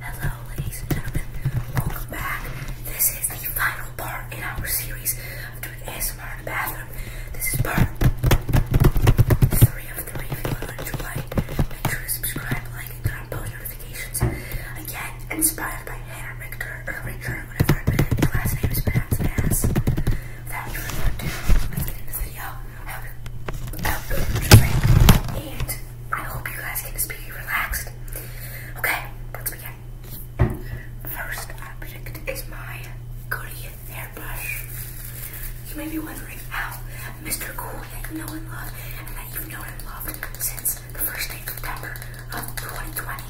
Hello, ladies and gentlemen. Welcome back. This is the final part in our series of doing ASMR in the bathroom. This is part three of three. If you want to enjoy, make sure to subscribe, like, and turn on notifications. Again, inspired by Hannah Richter, or last name is pronounced as. Without further ado, let's get into the video. I hope you enjoy. And I hope you guys can just be relaxed. Okay, let's begin. First object is my Goody hairbrush. You may be wondering how Mr. Cool that you know and love and that you've known and loved since the first day of September of 2020.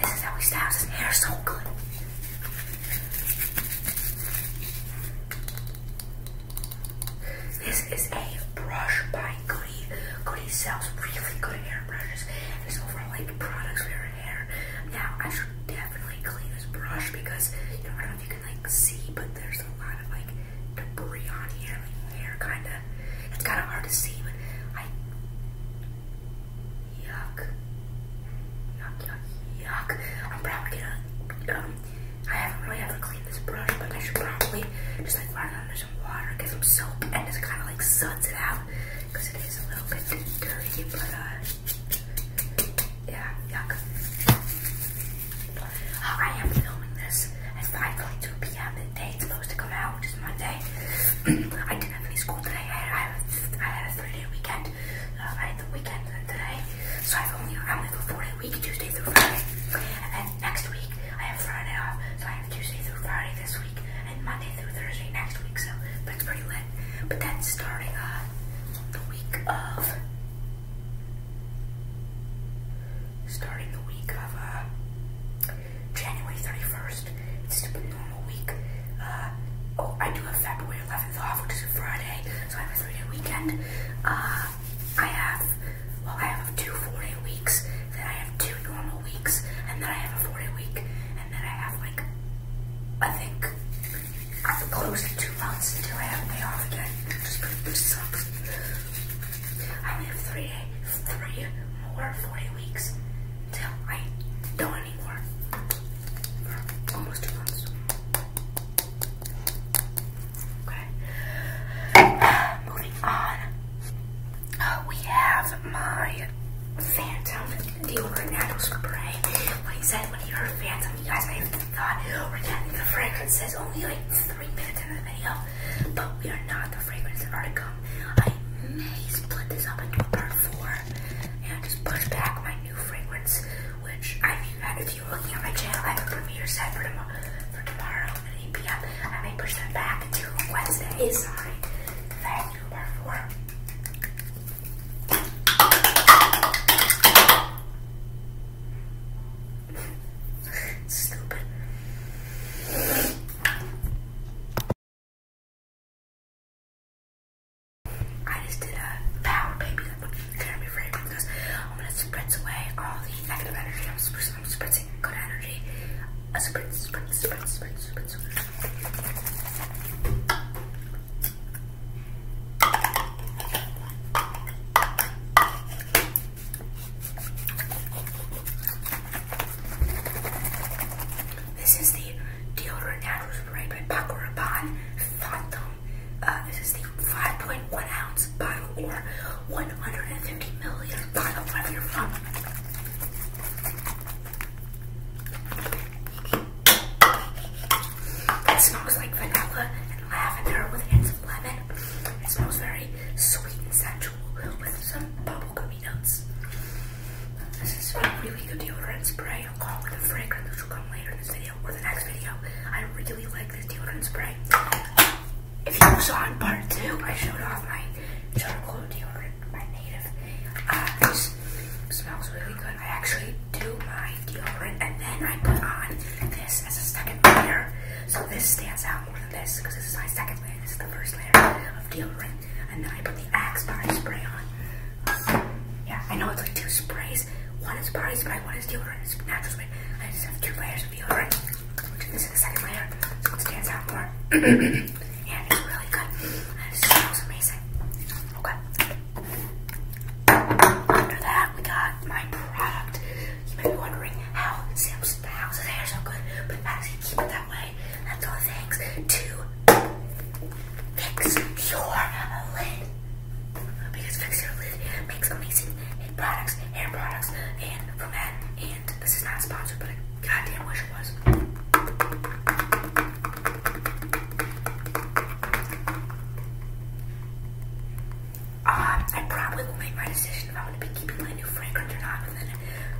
This is how he styles his hair so good. This is a brush by Glee. Glee sells really good hair brushes. It's over like products for your hair. Now I should definitely clean this brush because you know I don't know if you can like see, but there's a lot of like debris on here, like hair kinda. It's kinda hard to see, but I yuck. Yuck yuck yuck. I'm probably gonna um I haven't really ever cleaned this brush, but I should probably just like run under some water, get some soap, and just kind of like suds it out because it is a little bit dirty, but uh, yeah, yuck. Uh, I am filming this at 5.22 p.m. the day it's supposed to come out, which is Monday. I didn't have any school today. I had, a three-day weekend. Uh, I have the weekend today, so I've only I only go four week, Tuesday through Friday. And then next week I have Friday off, so I have Tuesday through Friday this week, and Monday through Thursday next week. So that's pretty lit. But that's starting uh, the week of starting the week of uh, January thirty first, it's just a normal week. Uh, oh, I do have February eleventh off, which is Friday so I have a three-day weekend. Uh, I have, well, I have two four-day weeks, then I have two normal weeks, and then I have a four-day week, and then I have like, I think, close to two months until I have day off again, I have three, three more four-day weeks until I don't anymore almost two months. Okay. Moving on. Uh, we have my Phantom deodorant natural spray. When he said when he heard Phantom, you guys I have thought we're getting the fragrance is only like three minutes into the video, but we are not the fragrance that are come. I may split this up into a part four and just push back my new fragrance, which I have had a few be looking at my channel. I have a premiere set for, tom for tomorrow at 8 p.m. I may push that back to Wednesday. Sorry. I have to Stupid. I just did a power baby which can I'm gonna spritz away all the negative energy. I'm spritzing, I'm spritzing good energy. A spritz, spritz, spritz, spritz, spritz. This is the deodorant ad spray by Paco Rabanne Phantom uh, this is the 5.1 ounce bottle or 150 milliliter bottle, whatever you're from. It smells like vanilla and lavender with hints of lemon. It smells very sweet and sensual with some bubblegummy notes. This is a really good deodorant spray i along with a fragrance which will come later in the video video the next video. I really like this deodorant spray. If you saw in part two, I showed off my charcoal deodorant, my native. Uh, this smells really good. I actually do my deodorant and then I put on this as a second layer. So this stands out more than this because this is my second layer. This is the first layer of deodorant. And then I put the Axe body spray on. Yeah, I know it's like two sprays is one is body spray, one is deodorant, it's natural spray. I just have two layers of deodorant. This is the second layer, so it stands out more. Yeah, it's really good. It smells amazing. Okay. After that, we got my product. You may be wondering how Sam's how's his hair so good, but actually keep it that way. That's all thanks to fix your lid. Because Fixer Lid makes amazing hair products, and from that, and this is not sponsored, but I goddamn wish it was. Uh, I probably will make my decision if I'm going to be keeping my new fragrance or not within,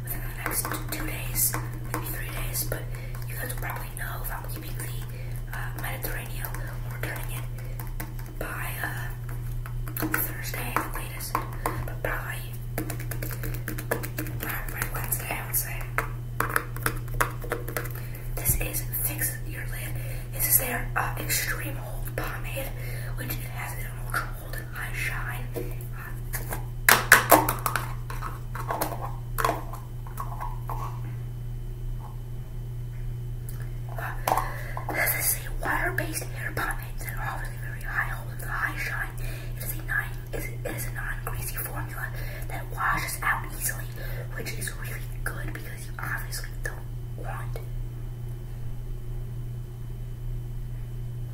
within the next two days, maybe three days, but you guys will probably know if I'm keeping the uh, Mediterranean or turning it by uh, Thursday at the latest, but probably by Wednesday, I would say. This is Fix Your Lid. This is their uh, Extreme Hold Pomade, which has an ultra hold and high shine. This is a water-based hair pomade that offers a very high hold the high shine. It is a nine it is, a non-greasy formula that washes out easily, which is really good because you obviously don't want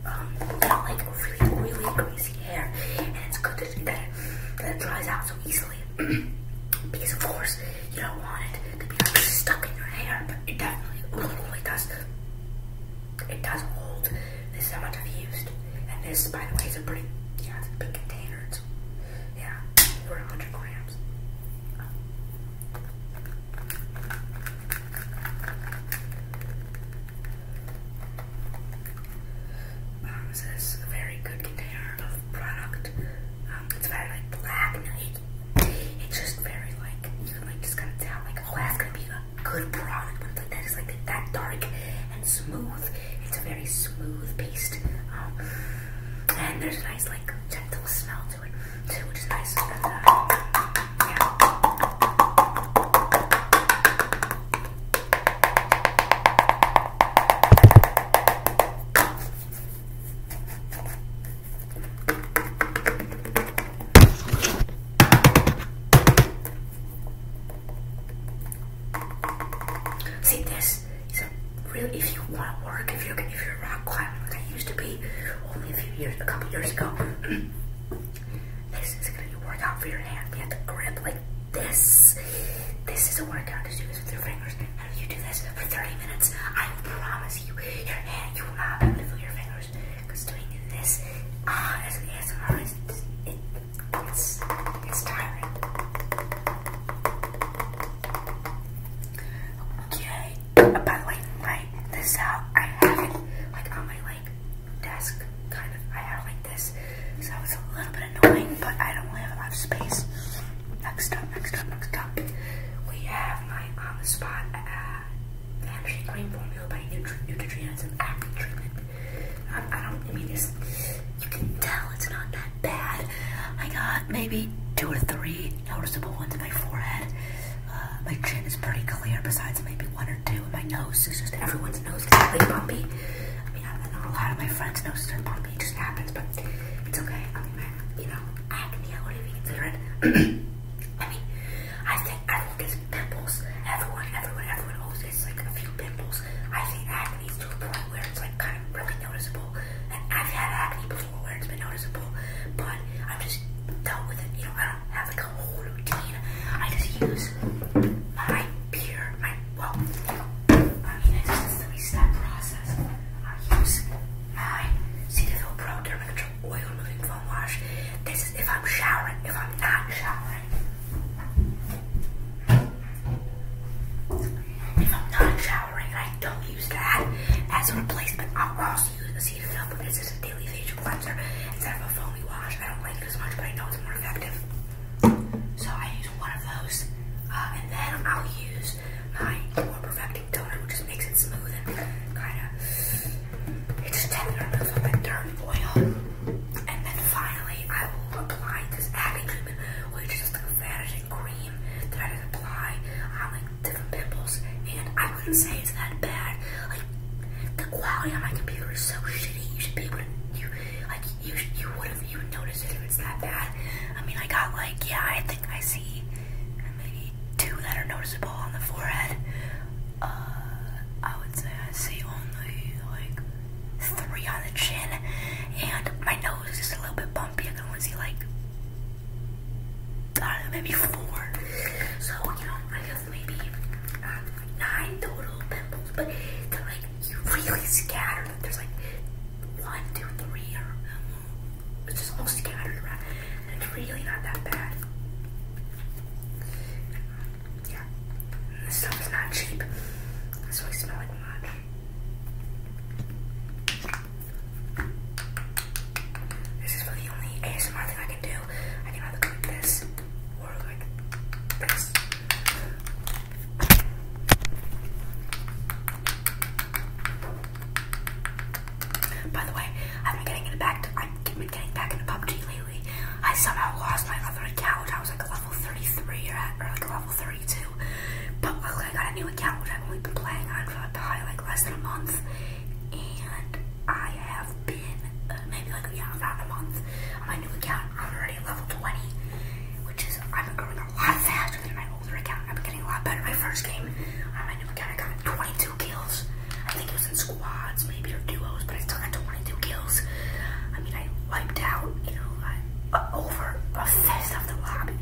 um like really really greasy hair, and it's good that it, that it dries out so easily. because of course you don't want it to be stuck in your hair, but it definitely it does. It does hold this amount I've used, and this, by the way, is a pretty yeah, big container. It's, yeah, over 100 grams. Um, this is a very good container of product. Um, it's very black it's just very like you can like just kind of tell like oh that's gonna be a good product when it's like that is like that dark and smooth. It's a very smooth paste. Um, and there's a nice like gentle smell to it too, which is nice. Uh, See, this is a real. If you want to work, if you're if you're rock climbing, like I used to be, only a few years, a couple years ago, this is gonna be a workout for your hand. You have to grip like this. This is a workout to do this with your fingers and you do this for 30 minutes, I promise you, your hand, you will not be able to feel your fingers. Because doing this, ah, as hard as it's, it's, it's tiring. Okay, uh, by the this out, I have it, like, on my, like, desk, kind of, I have like this, so it's a little bit annoying, but I don't really have a space. Next up, next up, next up, we have on the spot uh, the Hampshire cream formula by Neutrogena. It's an acne treatment. I, don't, mean, this. you can tell it's not that bad. I got maybe two or three noticeable ones in my forehead. Uh, my chin is pretty clear, besides maybe one or two. in my nose is just everyone's nose gets really bumpy. I mean, a lot of my friends' noses are bumpy. It just happens, but it's okay. I mean, you know, acne I wouldn't even I mean, I think everyone gets pimples. Everyone, everyone, everyone always gets like a few pimples. I think acne is to a point where it's like kind of really noticeable. And I've had acne before where it's been noticeable, but i am just dealt with it. You know, I don't have like a whole routine. I just use my beer, my well, I mean, it's just a step process. I use my Cetaphil Pro Dermator Oil Moving Foam Wash. This is if I'm showering, if I'm not showering. If I'm not showering, I don't use that as a replacement. I'll also use the Cetaphil, but this is a daily facial cleanser instead of a foamy wash. I don't like it as much, but I know it's more effective. So I use one of those, uh, and then I'll use my more perfect baking which just makes it smooth and kind of. It just tender to remove all that dirt and oil. And then finally, I will apply this acne treatment, which is just like a vanishing cream that I apply on like different pimples. And I wouldn't say it's that bad. Like the quality on my computer is so shitty. You should be able to you like you you would have you would notice it if it's that bad. I mean, I got like yeah, I think I see two that are noticeable on the forehead. Uh, I would say I see only like three on the chin, and my nose is just a little bit bumpy. I can only see like maybe four. So you know, I guess maybe uh, nine total pimples, but they're like really scattered. There's like one, two, three, or um, it's just all scattered around. And it's really not that bad. Yeah. This stuff is not cheap. That's why I smell This is really the only ASMR thing I can do. I can either go this or like this. By the way, I've been getting back. I've been getting back into PUBG lately. I somehow lost my other account. I was like level 33 or, at, or like level 32. But I got a new account which I've only been playing on for probably like less than a month. And I have been uh, maybe like yeah, about a month on my new account. I'm already level 20, which is I'm growing a lot faster than my I've been getting a lot better. My first game I my new account, I got 22 kills. I think it was in squads, maybe, or duos, but I still got 22 kills. I mean, I wiped out, you know, over a fifth of the lobby.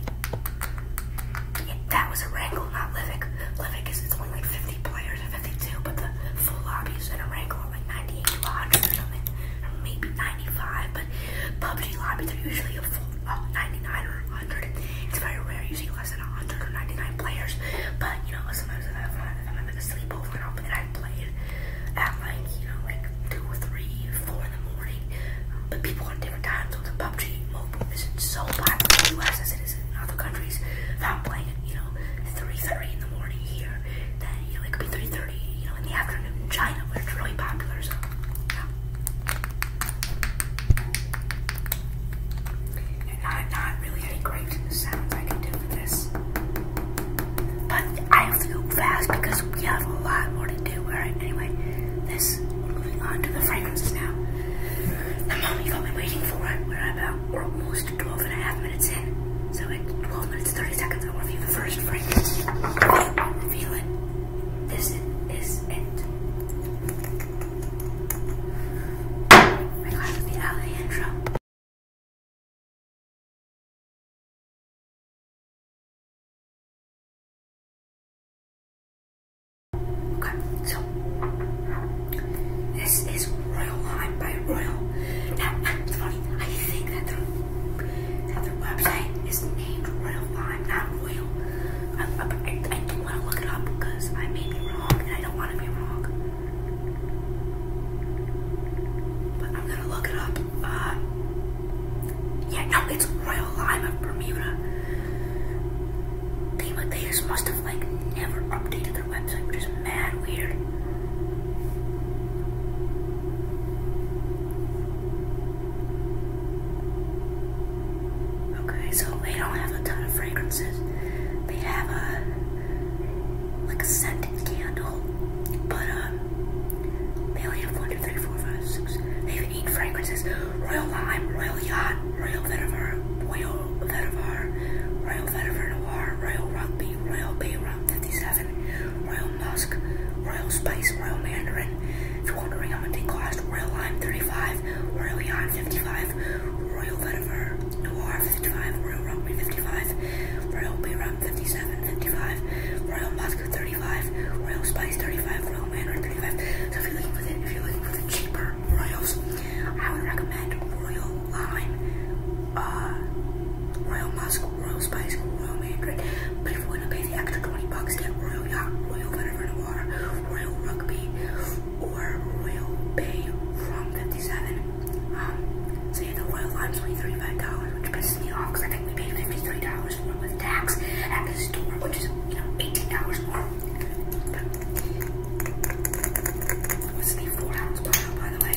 that was a wrangle, not Livik. Livik is it's only like 50 players and 52, but the full lobby in a wrangle are like 98 to 100 something, maybe 95. But PUBG lobbies are usually a full uh, 99 or 100. It's very rare you less than 199 players, but you know, sometimes i have fun. I'm having a sleepover and, I'll, and played at like, you know, like 2 or 3, 4 in the morning, um, but people on different time zones, and PUBG Mobile isn't so popular in the US as it is in other countries. If I'm playing at, you know, 3.30 in the morning here, then it could be 3.30, you know, in the afternoon in China, where it's really popular, so, yeah. And i not really any great sounds I can do for this. But I have to go fast because we have a lot more to do. Alright, anyway, this, we're moving on to the fragrances now. I'm only have all been waiting for, we're about, we're almost 12 and a half minutes in. So at 12 minutes 30 seconds, I'll review the first fragrance. i it. This is it. I got the alley Okay, so this is Royal Lime by Royal. Now it's funny, I think that their, their website is named Royal Lime, Now oil. I, I, I don't want to look it up because I may be wrong and I don't want to be wrong. But I'm gonna look it up. Uh, yeah, no, it's Royal Lime of Bermuda. They, must have like never updated their website, which is mad weird. Okay, so they don't have a ton of fragrances. They have a like a scented candle, but um, they only have one, two, three, four, five, six. They have eight fragrances: Royal Lime, Royal Yacht, Royal Vetiver, Royal Vetiver, Royal Vetiver Noir, Royal Rugby, Royal Bay Rum 57, Royal Musk, Royal Spice, Royal Mandarin. If you're wondering how much they cost, Royal Lime 35, Royal Yacht 55. Royal Vetiver, Noir 55, Royal Rugby 55, Royal B 57, 55, Royal Moscow 35, Royal Spice 35, Royal Mandarin 35. So if you're looking for the cheaper Royals, I would recommend Royal Lime, uh, Royal Moscow, Royal Spice, Royal Mandarin. But if you want to pay the extra 20 bucks, get Royal Yacht, Royal Vetiver Royal Rugby, or Royal Bay from 57. Um, so yeah, the Royal was only $35, which pisses me off because I think we paid $53 for with tax at the store, which is, you know, $18 more. But, what's four ounce bottle, by the way?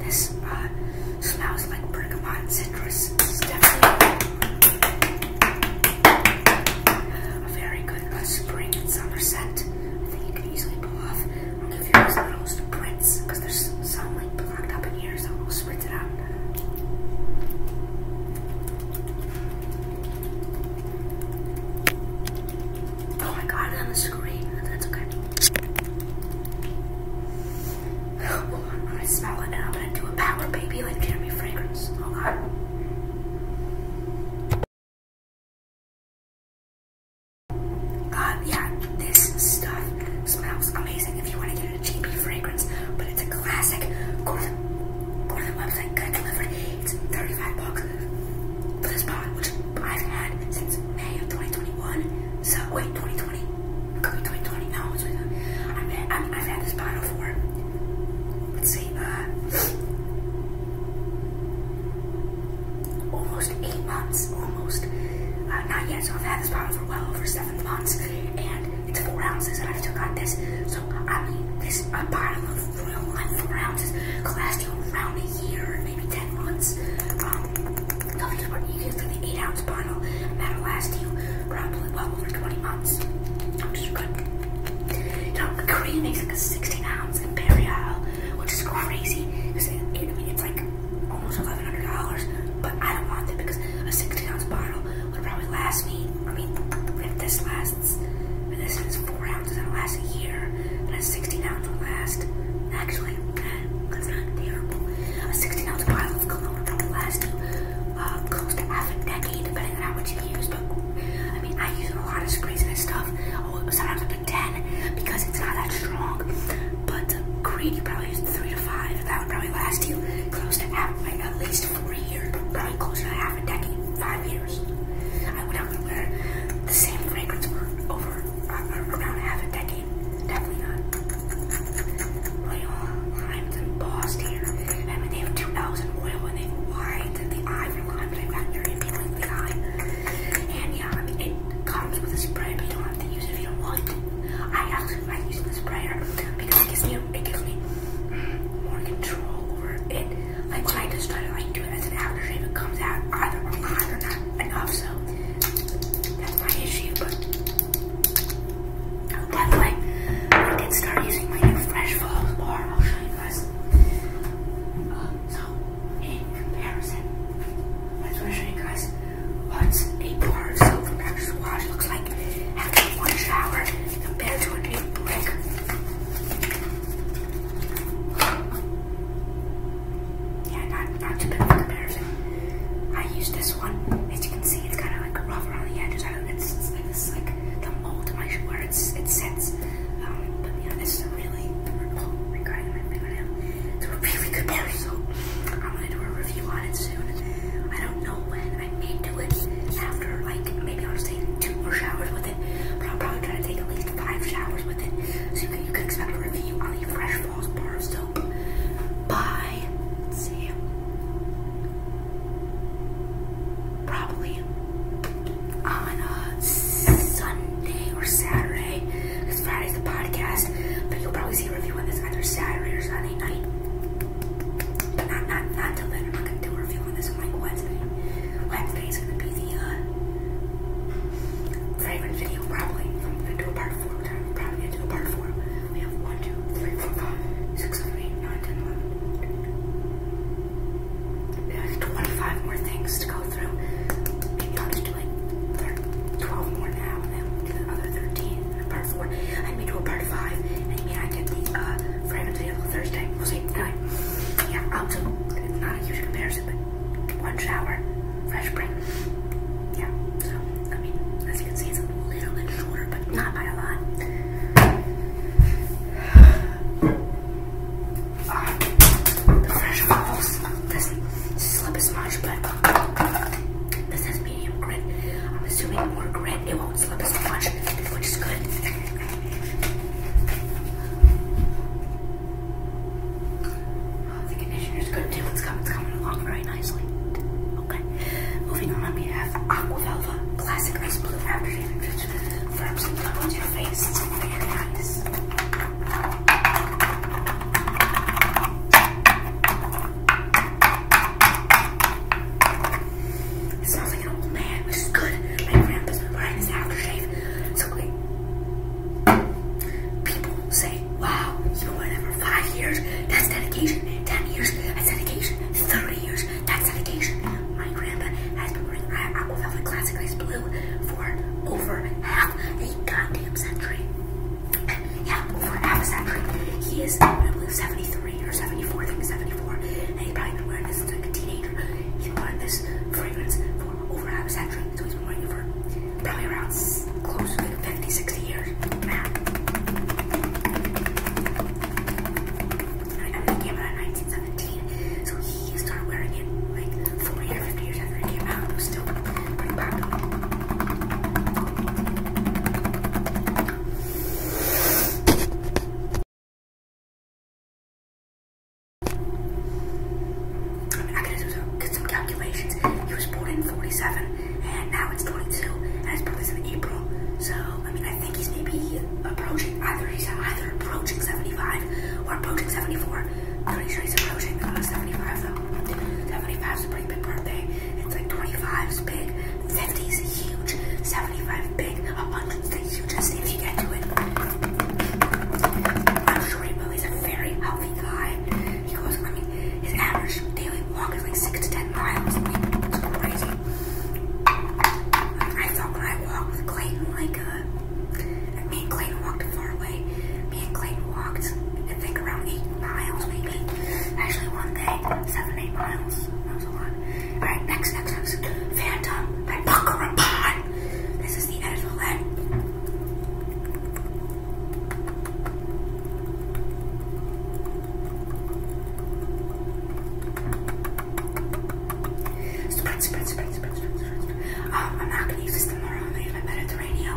This uh, smells like bergamot citrus. definitely a very good uh, spring and summer scent. I think you can easily pull off. I'll give you those little spritz because there's some like blocked up in here, so we'll spritz it out. Oh my god, on the screen. That's okay. Hold I smell it and I'm gonna do a power baby like Jeremy Fragrance. Hold God, um, yeah, this stuff smells amazing. If you want to get a cheapy fragrance, but it's a classic, go to the, website, get it It's 35 bucks for this pot, which I've had since May of 2021. So, wait, 2020. 2020. I've, been, I've, had this bottle for, let's see, uh, almost eight months. Almost. Uh, not yet, so I've had this bottle for well over seven months. And it's four ounces, and I've still got this. So, I mean, this a bottle of Royal Life four ounces, could last you around a year, maybe ten months. Um, the colors were equal 8 ounce bottle, and that'll last you probably well over 20 months. Which is good. Now, Korea makes like a 16 ounce Imperial, which is crazy because it's like almost $1,100, but I don't want it because a 16 ounce bottle would probably last me. I mean, if this lasts, if this is 4 ounces, it'll last a year, And a 16 ounce will last actually time because not terrible. A 16 ounce bottle of cologne will last you close to half a decade, depending on how much you use. But I mean, I use a lot of sprays and stuff. Oh, sometimes up to 10 because it's not that strong. But green, you probably use three to five. That would probably last you close to half, like at least four years, probably closer to half a decade, five years. I would not wear the same fragrance for over uh, around half a decade. Definitely not oil limes embossed here. and mean, they have 2,000 oil and they are white, and the ivory for lime, but I got very appealing to the eye. And yeah, it comes with a spray, but you don't have to use it if you don't want to. I actually like using the sprayer because it gives me, more control over it. Like when I just try to like do it as an aftershave, it comes out either on or not enough, so that's my issue, but Definitely, I did start using my new Fresh Falls bar. I'll show you guys. Uh, so, in comparison, I just want to show you guys what a bar soap from Doctor Squash looks like after one shower compared to a new brick. Yeah, not, not too bad of a comparison. I used this one. As you can see, it's kind of like rough around the edges. it's, like the mold of where it sits. Um, but yeah, this is a really, oh my really good pair, so I'm gonna do a review on it soon. I don't know when. I may do it after, like, maybe I'll just take two more showers with it, but i am probably going to take at least five showers with it. So you can, expect a review on the Fresh Falls Bar of Bye. Let's Probably on a Sunday or Saturday, because Friday's the podcast. But you'll probably see a review on this either Saturday or Sunday night. not not not till then. I'm not gonna do a review on this like Wednesday. Wednesday's gonna be the uh, favorite video probably. I'm gonna do a part four we're gonna probably gonna a part four. We have one, two, three, four, five, six, seven, eight, nine, ten, eleven. We twenty-five more things to go through. Maybe I'll just do like twelve more now, and then do the other thirteen part four. I may do a part five, and maybe I get the uh random Thursday. We'll see. Anyway, yeah, I'll do not a huge comparison, but one shower, fresh breath yeah, so, I mean, as you can see, it's a little bit shorter, but not by a lot. the fresh falls doesn't slip as much, but this has medium grit. I'm assuming more grit, it won't slip as much, which is good. Oh, the conditioner's good too. It's coming, it's coming along right. now. Okay. Moving on, we have Aquavelva Classic Rose Blue Aftershave, which firms and levels your face. It's very nice. It smells like an old man, which is good. My grandpa wearing this aftershave. So great. People say, wow, you know whatever Five years, that's dedication. Ten years, that's dedication. Thirty years, that's dedication. My grandpa has been wearing Apple Velvet Classic Ice Blue for over half a goddamn century. Yeah, over half a century. He is, I believe, 73 or 74, I think 74. And he's probably been wearing this since like a teenager. He's been wearing this fragrance for over half a century. So he's been wearing it for probably around close to like years. Matt. I know they came out 1917, so he started wearing it like 40 or 50 years after it came out. still popular. I mean, I to do some calculations. He was born in 47 and now it's 22, and it's probably in April. So I mean, I think he's maybe approaching either he's either approaching 75 or approaching 74. i is approaching uh, 75 though. 75 is a pretty big birthday. It's like 25 is big, 50 is huge, 75 big, a 100 is the hugest if you get to it. I'm sure he's a very healthy guy. He goes, his average daily walk is like six to ten miles. crazy. I thought when I walked with Clayton, like uh, me and Clayton walked far away. Me and Clayton walked, I think around eight miles, maybe. Actually, one day, seven, eight miles. That was a lot. All right, next, next, next. Phantom by Buckra Pond. This is the edible end. Spread, spread, spread, spread, spread, spread. Uh, I'm not gonna use this tomorrow. I'm Mediterranean,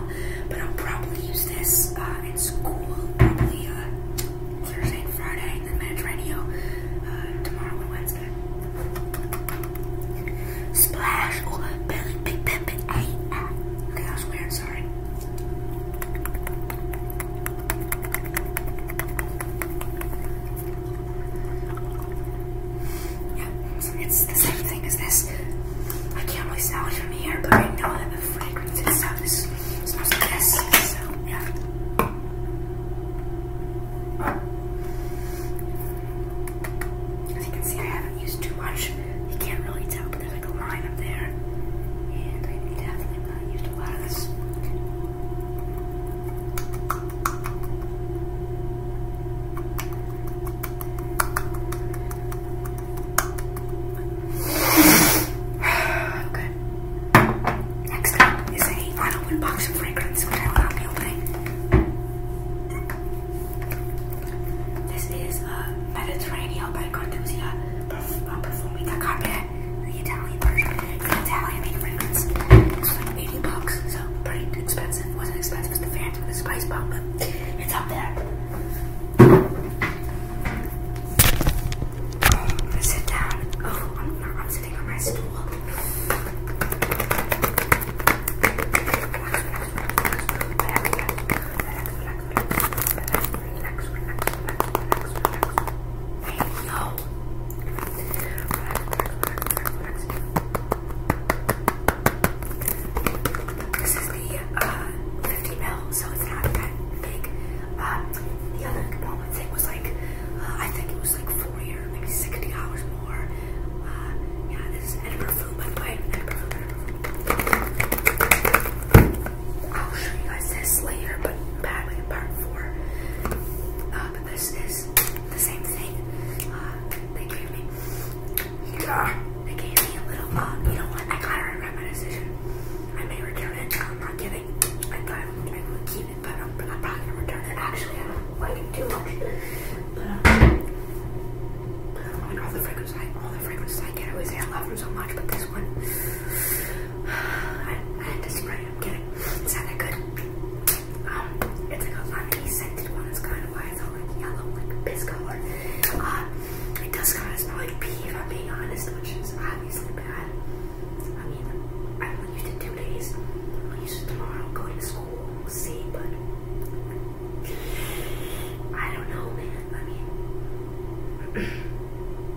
but I'll probably use this uh, in school. Probably uh, Thursday and Friday, and then Mediterranean tomorrow and Wednesday. Splash or oh, belly big pimp. Hey, okay, that was weird. Yeah, it's the same thing as this. I can't really smell it from here, but I know that the fragrance itself is, smells like this. So, yeah. As you can see, I haven't used too much. You can't really tell this. Okay. Next up is a unopened box of fragrance, which I will not be opening. This is uh, Mediterranean by Cartusia perf uh, carpet, the Italian version, the Italian made fragrance. It's like 80 bucks, so pretty expensive. wasn't expensive as the Phantom, the Spice Bomb, it's up there. I'm sit down. Oh, I'm sitting on my stool relax, relax, relax, relax, Hey, yo. This is the uh, 50 mil, so it's not that big. Uh, the other thing was like, uh, I think it was like 40 or maybe 60 hours more. Uh, yeah, this Edinburgh food, by the way. Edinburgh I'll show you guys this later, but probably in part four. Uh, but this is the same thing. Uh, they gave me, yeah, they gave me a little, uh, you know what, I gotta regret my decision. I may return it, I'm not giving. I thought I would, I keep it, but I'm, probably gonna return it. Actually, I don't like it too much. But, um, I mean, all the fragrance I, all the fragrance I get, I always say I love them so much, but this one, I, I had to spray it. I'm kidding. It sounded good. Um, it's like a lemony scented one. It's kind of why it's all like yellow, like piss color. Uh, it does kind of smell like pee, if I'm being honest, which is obviously bad. I mean, I only used it two days. I'll use it tomorrow. Going to school, we'll see. But I don't know, man. I mean.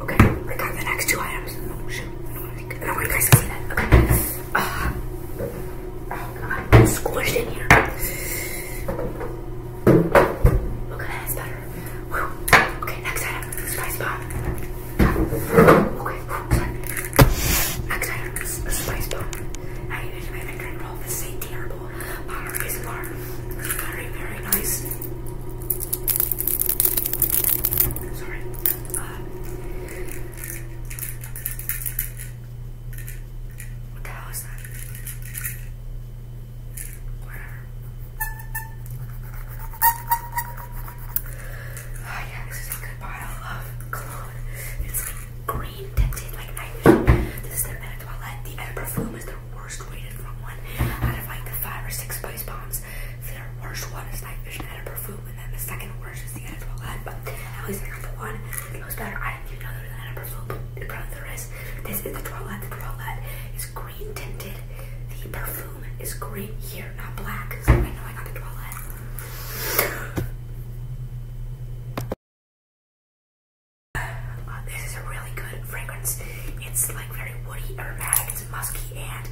Okay, I got the next two items. Oh shoot, I don't want, you guys to see that. Okay. Uh, oh god, squished in here. Okay, that's better. Whew. Okay, next item. Spice bomb. Okay, Next item is spice bomb. I even made my drink roll. This ain't terrible. Water is water. Very, very nice. Sorry. what the hell is that? Whatever. Oh yeah, this is a good bottle of cologne. It's like green tinted, like I This is the Eau Toilette. The Eau de Parfum is worst rated from one out of like the five or six spice bombs. Their worst one is Night Vision Edit Perfume, and then the second worst is the Edit Toilette. But at least I got the one that was better. I didn't even know there was an Edit Perfume, but probably there is. This is the Toilette. The Toilette is green tinted. The perfume is green here, not black. I know I got the Toilette. Uh, this is a really good fragrance. It's like very woody, aromatic, it's musky and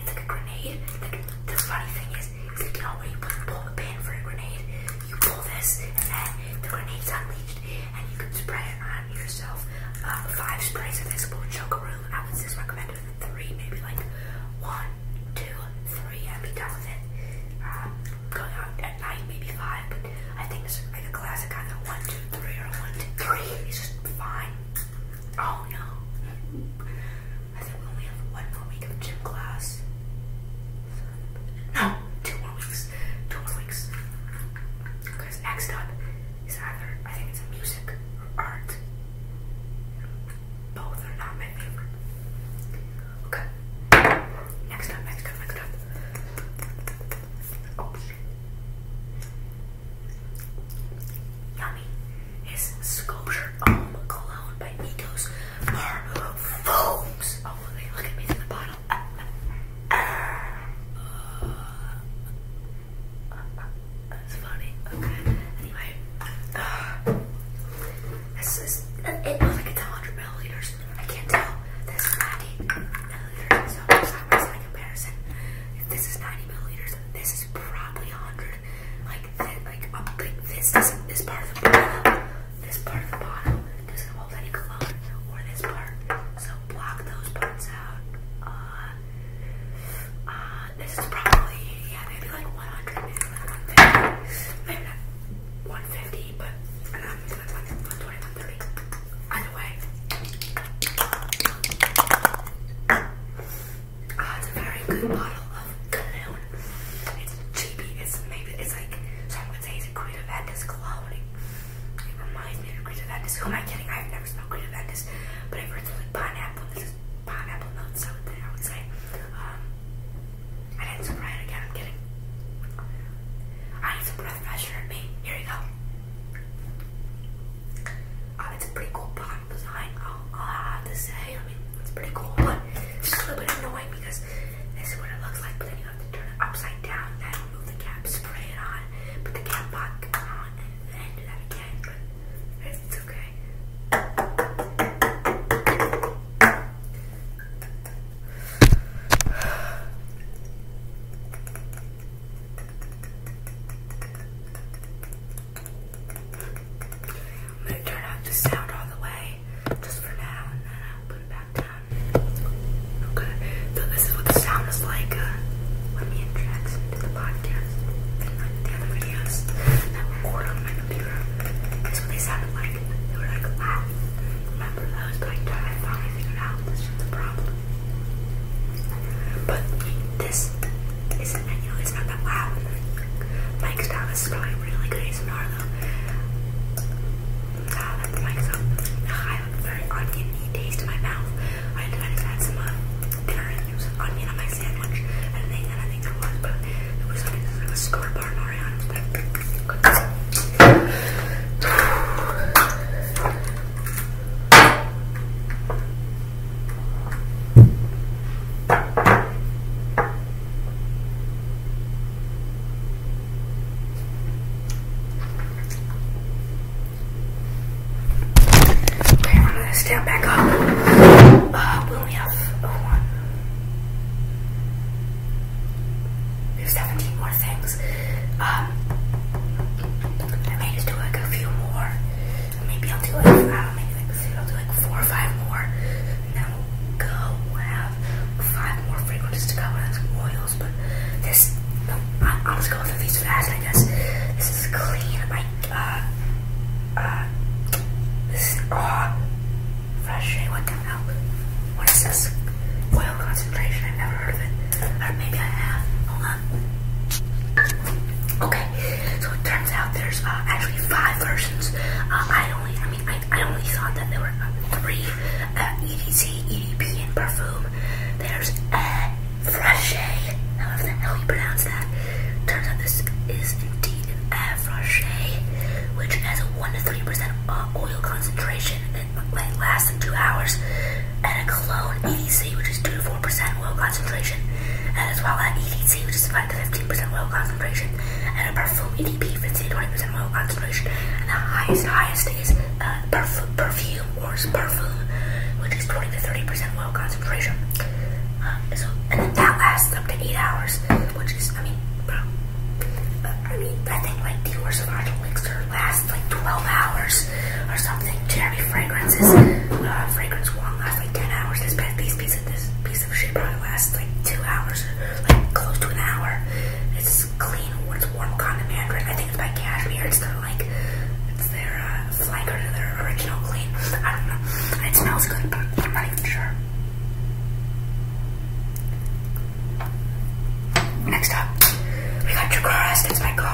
it's like a grenade. Like, the funny thing is, you can when you pull the pin for a grenade, you pull this and then the grenade's unleashed and you can spray it on yourself. Uh, five sprays of this will choke a room. I would just recommend it three, maybe like one, two, three, and be done with it. Um, going out at night, maybe five, but I think it's like a classic kind of one, two, three, or one, two, three. It's just fine. Oh no. I said we only have one more week of gym class. No, two more weeks. Two more weeks. Because next up is either, I think it's music or art. Both are not my favorite. Okay. Next up, next up, next up. Oh, Yummy is Sculpture um, Cologne by Nikos Marble Oh, look at me through the bottle. Uh, uh, uh, that's funny. Okay. Anyway, this is, it was like it's 100 milliliters. I can't tell. This is 90 milliliters, so it's not worth comparison. this is 90 30 milliliters, and this is probably 100. Like, th like, um, like this doesn't, this part of the bottle, this part of the bottle doesn't hold any cologne, or this part. So block those parts out. Uh, uh, this is probably, yeah, maybe like 100, maybe like 150. Maybe not 150, but I'm um, like 120, 130. Anyway, I had a very good bottle of cologne. It's cheapy. It's maybe it's like some would say it's a Greta cologne. It, reminds me of Greta Vendis. Who am I kidding? I've never smelled Greta Vendis, but I've heard like pineapple. This is pineapple notes. I I would say. Um, I need some breath freshener me. Here you go it's oh, a pretty cool bottom design, i i have to say. I mean, it's pretty cool, but just a little bit annoying because this is what it looks like, but then you have to turn it upside down, then remove the cap, spray it on, put the cap back on, and then do that again, it's okay. I'm gonna turn up the sound all the way just for now and then I'll put it back down. Okay, so this is what the sound is like uh, me and Jackson the podcast and I record on my computer. That's they sounded like. They were like loud. Remember those? But I, I finally figured out this is the problem. But this isn't, know, it's not that loud. Mike's down. is probably really good ASMR though. Ah, that mic's up. I have very oniony taste in my mouth. I decided to add some uh, dinner and on my sandwich. I think, and I think there was, but it was like a score bar Okay, I'm gonna stand back up. we only have one. We 17 more things. Um, I may just do a few more. Maybe I'll do like, four or five more. And then we'll go, have five more fragrances to go and oils. But this, I, will just go through these fast, I guess. This is clean. My, uh, uh, this is, oh, fresh, what the hell? What is this? Oil concentration, I've never heard of it. Or uh, maybe I have. Hold on. Uh, okay, so it turns out there's uh, actually five versions. Uh, I only, I mean, I, only thought that there were three: EDC, EDP, and perfume. There's uh, Frachet, however the hell you pronounce that. Turns out this is indeed an Air which has a one to three percent oil concentration and lasts in two hours and a cologne EDC, which is 2 to 4% oil concentration, and as well as EDC, which is 5 to 15% oil concentration, and a perfume EDP, which is 20% oil concentration, and the highest, highest is uh, perf perfume or perfume, which is 20 to 30% oil concentration. Uh, and then that lasts up to 8 hours, which is, I mean, bro, I mean, I think like the of Sauvage Elixir lasts like 12 hours or something. Jeremy Fragrances. Uh, fragrance won't last like 10 hours. This, piece, of, this piece of shit probably lasts like 2 hours, like close to an hour. It's clean, it's warm condom mandarin. I think it's by Cashmere. It's their, like, it's their uh, flanker to their original clean. I don't know. It smells good, but I'm not even sure. Next up, we got Jaguar Essence by God.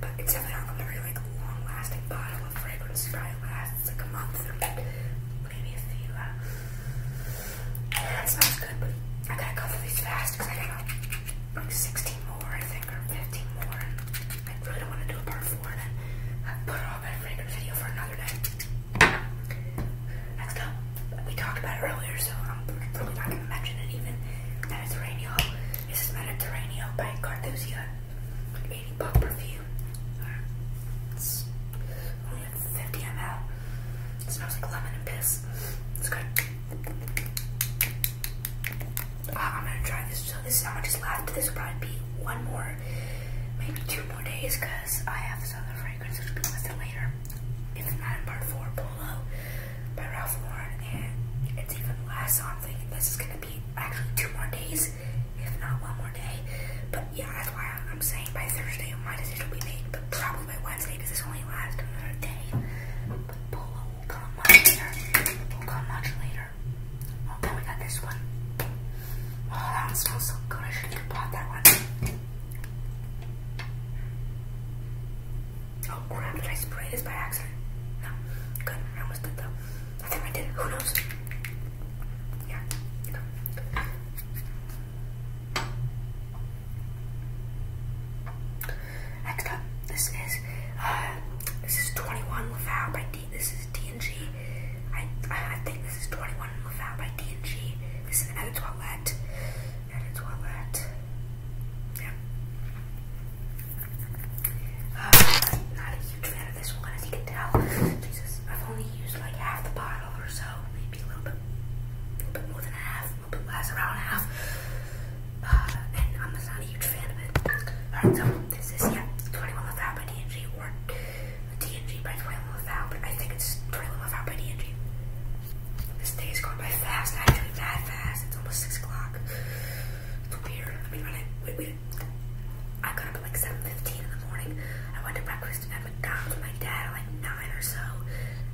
but it's definitely not a very like long-lasting bottle of fragrance. It probably lasts like a month or maybe a few. Uh, that smells good, but I gotta go through these fast because I got like 16 more, I think, or 15 more. I really don't want to do a part four and then put all my fragrance video for another day. Next up, we talked about earlier, so I'm probably not gonna mention it even. That it's rainy. This is Mediterranean by Carthusian. 80 buck perfume. It's only 50 ml. It smells like lemon and piss. It's good. Uh, I'm gonna try this. So this is how much is left. This will probably be one more, maybe two more days, cause I have this other fragrance which will be listed later. It's not in part four, Polo by Ralph Lauren, and it's even less. So I'm thinking this is gonna be actually two more days, if not one more day. But yeah, that's why I'm saying by Thursday my decision will be made, but probably by Wednesday because this only lasts another day. But Polo will come much later. Will come much later. Oh, then we got this one. Oh, that one smells so good. I should have bought that one. Oh crap, did I spray this by accident? No. Good, I almost did though. I think I did, who knows? Yeah. No. Next this is uh, this is 21 Laval by D. This is DNG. I I think this is 21 Laval by DNG. This is another toilette. Another toilette. Yeah. Uh, not a huge fan of this one, as you can tell. Jesus, I've only used like half the bottle or so, maybe a little bit, a little bit more than half, a little bit less, around half. and I'm just not a huge fan of it. Alright, so this is, yeah, 21 Love or DNG by 21 I think it's 21 Love This day is going by fast, actually, that fast. It's almost 6 o'clock. I mean, when I, wait, wait. got up like 7.15 in the morning. I went to breakfast and at McDonald's with my dad at like 9 or so.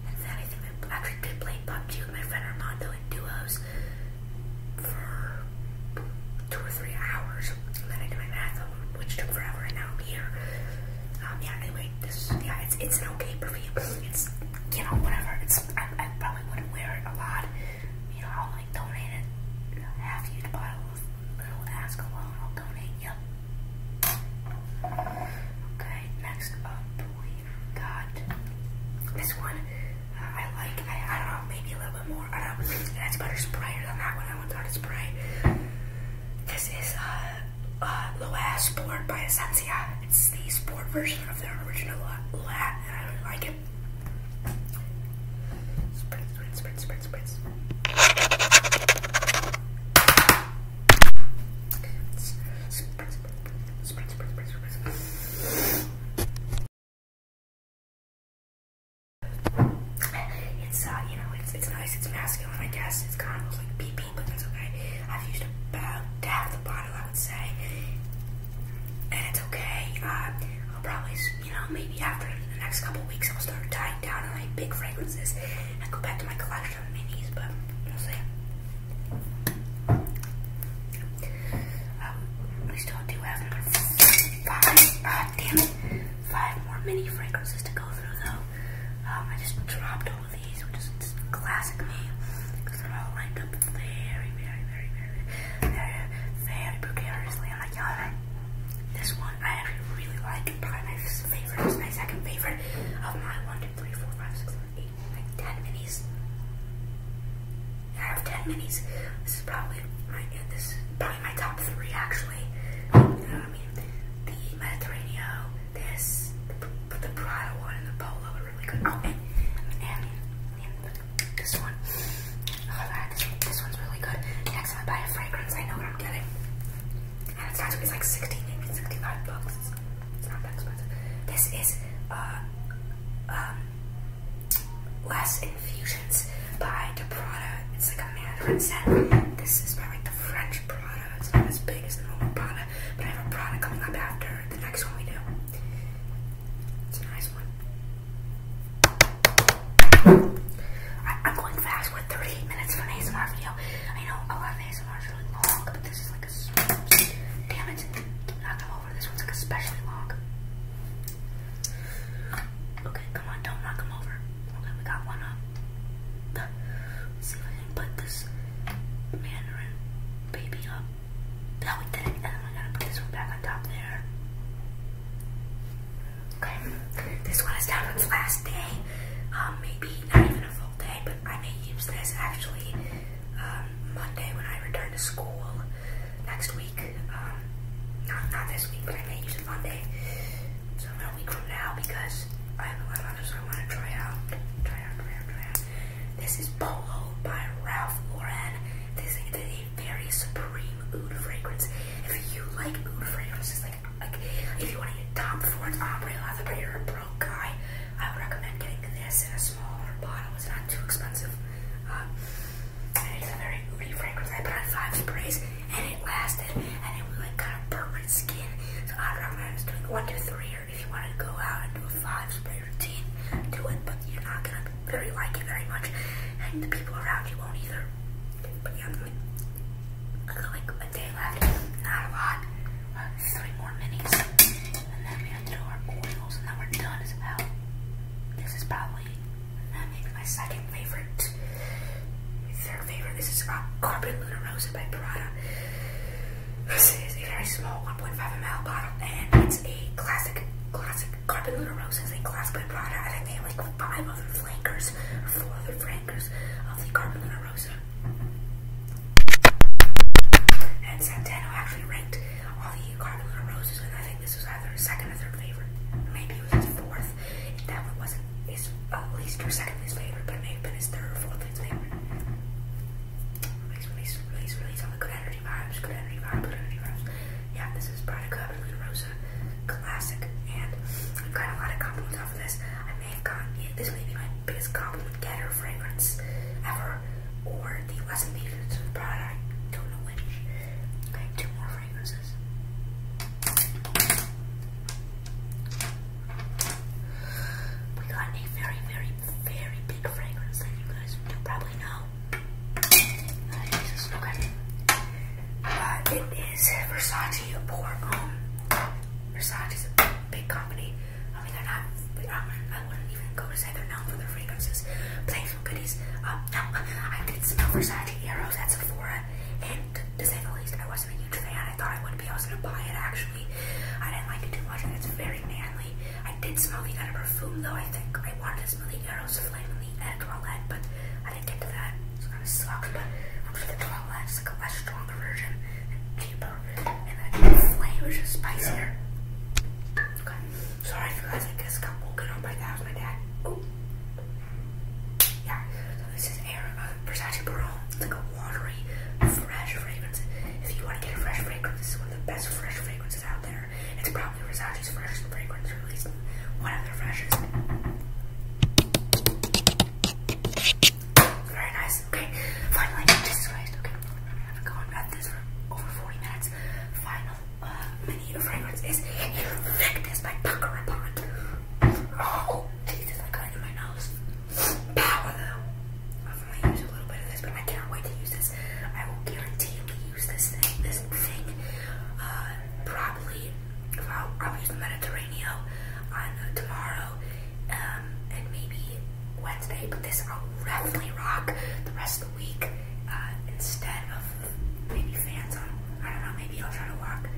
And then I think I actually did play PUBG with my friend Armando in duos for two or three hours. And then I did my math, which took forever, and now I'm here. Um, yeah, anyway, this, yeah, it's, it's an okay perfume. It's, you know, whatever. It's, I probably wouldn't wear it a lot you know, I'll like donate it. Half you to buy a little ask alone, I'll donate, yep. Okay, next up we've got this one. Uh, I like, I, I don't know, maybe a little bit more. I don't know, that's better sprayer than that one. I went out to spray. This is uh, uh, Loa Sport by Essentia. It's the sport version of their original uh, Loa, and I really like it. Spread, spread, spread, spread, spread. Spread, spread, spread, spread, spread, spread. It's uh, you know, it's it's nice, it's masculine, I guess. It's kind of like pee pee, but that's okay. I've used about half the bottle. I would say. And it's okay. Uh, I'll probably, you know, maybe after the next couple weeks, I'll start tying down my big fragrances and go back to my collection of minis. But I will um, still do have five. Uh, damn it, five more mini fragrances to go through though. Um, I just dropped all of these, which is classic me because they're very, very, very, very, very, very precariously. i like, y'all, this one I actually really like. Probably my favorite, it's my second favorite of my 1, 10 minis. I have 10 minis. This is probably my, this probably my top three actually. I mean? The Mediterranean, this, the, the Prada one, and the Polo this one. Oh this, one's really good. Next time I buy a fragrance, I know what I'm getting. And it's not, it's like 16, maybe 65 bucks. It's, not that expensive. This is uh, um, Less Infusions by De Prada. It's like a mandarin scent. This is by like the French Prada. It's not as big as the normal Prada, but I have a Prada coming up after the next one we do. It's a nice one. I, am going fast with 38 minutes for an ASMR video. I know a lot of ASMR is long, but this is like a. Damn it. Knock them over. This one's like especially long. Okay, come on, don't knock them over. Okay, we got one up. see if I can put this mandarin baby up. No, we didn't. And then we gonna put this one back on top there. Okay. This one is down last day. Um, maybe not even a full day, but I may use this actually um, Monday when I return to school next week. Um, not, not this week, but I may use it Monday. So a week from now because I have a lot of others I want to try out. Try out, try out, try out. This is Polo by Ralph Lauren. This very supreme oud fragrance. If you like oud fragrances, like, like if you want to get for an Ombre Lather, but you're a broke guy, I would recommend getting this in a smaller bottle. It's not too expensive. Um, and it's a very oudy fragrance. I put on five sprays, and it lasted, and it was like kind of burnt my skin. So I would recommend doing one, two, three, or if you want to go out and do a five spray do it, but you're not gonna very like it very much, and the people around you won't either. But yeah, I got like a day left, not a lot. Uh, three more minis, and then we're to do our oils, and then we're done as well. This is probably my second favorite, third favorite. This is about uh, Carbon Luna Rosa by Prada. This is a very small 1.5 ml bottle, and it's a classic, classic classic Carpet Lunar Rose is a glass blade product. I think they have like five other flankers or four other flankers of the Carpet Lunar Rosa. And Santano actually ranked all the Carpet Lunar Roses, and I think this was either second or third favorite. Maybe it was fourth. that one wasn't his at least or second least favorite, but it may have been his third or fourth least favorite. Release, release, release, release all the good energy vibes, good energy vibes, good energy vibes yeah, this is Product Club and Luna Rosa Classic, and I've got a lot of compliments off of this. I may have gotten, this may be my biggest compliment getter fragrance ever, or the last ingredients of the product, I don't know which. two more fragrances. We got a very, very, very big fragrance that you guys probably know it is Versace, a poor, um, Versace's a big company. I mean, they're not, I wouldn't even go to say they're known for their fragrances, playful goodies. Um, I did smell Versace arrows at Sephora, and to say the least, I wasn't a huge fan. I thought I would be, I was gonna buy it actually. I didn't like it too much, and it's very manly. I did smell the other perfume though, I think. I wanted to smell the Eros Flame and the Ed Toilette, but I didn't get to that. So kind of sucks, but I'm for the Toilette it's like a less stronger version and cheaper. And the Flame is just spicier. Sorry you guys, I guess got woken up by that was my dad. Yeah, so this is Air uh, Versace Barone. It's like a watery, fresh fragrance. If you want to get a fresh fragrance, this is one of the best fresh fragrances. It's probably Versace's freshest fragrance released. One of their freshest. Very nice. Okay, finally, Jesus Christ. Okay, I've gone at this for over 40 minutes. Final uh, mini fragrance is Invictus by Pucker Report. Oh, Jesus, I got it in my nose. Power, though. I'm going to use a little bit of this, but I can't wait to use this. I will guarantee you use this thing, this thing, uh, probably, I'll use the Mediterranean on uh, tomorrow, um, and maybe Wednesday, but this I'll definitely rock the rest of the week, uh, instead of maybe fans on, I don't know, maybe I'll try to rock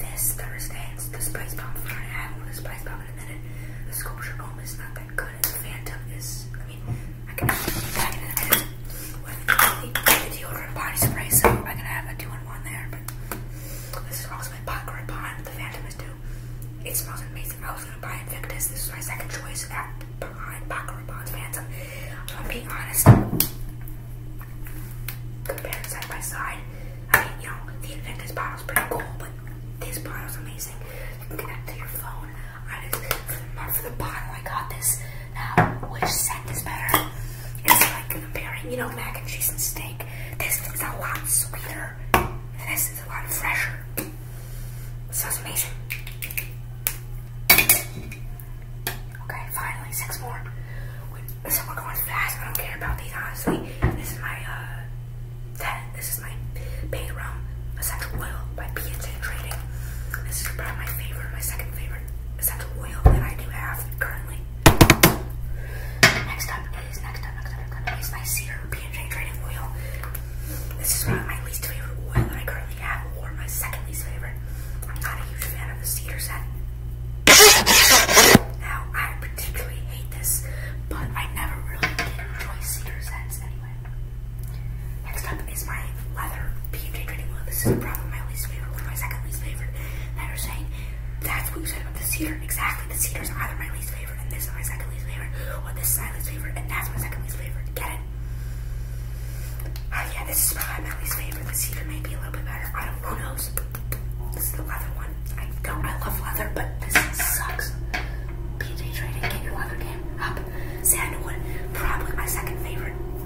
this Thursday, and the Spice Bomb Friday, I have the Spice Bomb in a minute, the Sculpture Bomb is not that good, and the Phantom is, I mean, I can have this deodorant body spray, so I can have a two-in-one there, but this is smells like popcorn pond, the Phantom is too. It smells amazing. I was gonna buy Invictus, this is my second choice at behind popcorn pond's Phantom. If I'm being honest, compared side by side, I mean, you know, the Invictus bottle's pretty cool, but this bottle's amazing. You can connect to your phone. I for the bottle I got this which scent is better? It's like comparing, you know, mac and cheese and steak. This is a lot sweeter. this is a lot fresher. So it's amazing. Okay, finally, six more. so we're going fast. I don't care about these, honestly. This is my, uh, this is my Bay Rum Essential Oil by P&J Trading. This is probably my favorite, my second favorite essential oil that I do have currently. Next up is next up, next up, next up is my Cedar PJ Trading Oil. This is one of my least favorite oil that I currently have, or my second least favorite. I'm not a huge fan of the cedar scent. Now I particularly hate this, but I never really did enjoy cedar scents anyway. Next up is my leather PMJ trading wheel. This is probably my least favorite one, my second least favorite. And you're saying, that's what you said about the cedar. Exactly, the cedar is either my least favorite, and this is my second least favorite, or this is my least favorite, and that's my second least favorite. Get it? Uh, yeah, this is probably my least favorite. The cedar may be a little bit better. I don't, who knows? This is the leather one. I don't, I love leather, but this sucks. PJ trading, get your leather game up. Sandalwood, probably my second favorite favorite,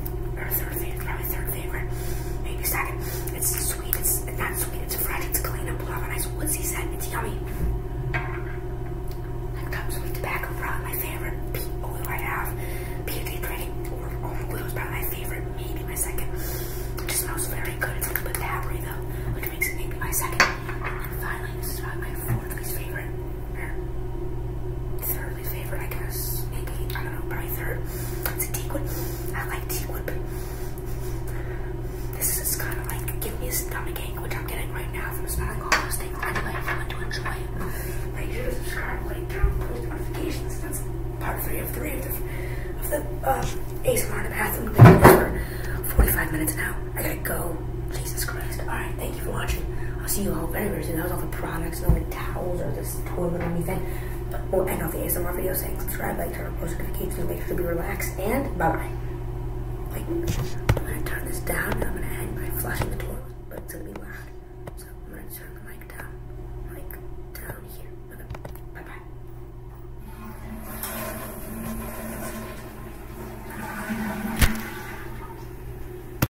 third favorite, probably third favorite, maybe second. It's sweet, it's not sweet, it's fresh, it's clean, and pull off a nice woodsy scent, it's yummy. It comes with tobacco, probably my favorite peat oil I probably my favorite, maybe my second. It just smells very good, it's a little though, which makes it maybe my second. And finally, this is probably my fourth least favorite, third favorite, I guess. Maybe, I don't know, probably third. It's a teakwood. I like teakwood, but this is kind of like give me a stomach ache, which I'm getting right now from smelling all those things. Anyway, if you want to enjoy it, make sure to subscribe, like, down, post notifications. That's part three of three of the, of the um, the 45 minutes now. I gotta go. Jesus Christ. Alright, thank you for watching. I'll see you all very soon. That was all the products towels or this toilet or anything. But more well, enough ASMR videos, saying subscribe, like, turn on post notifications, make sure to be relaxed, and bye-bye. I'm gonna turn this down I'm gonna end by flushing the toilet, but it's gonna be loud. So I'm gonna turn the mic down, like down here. bye-bye.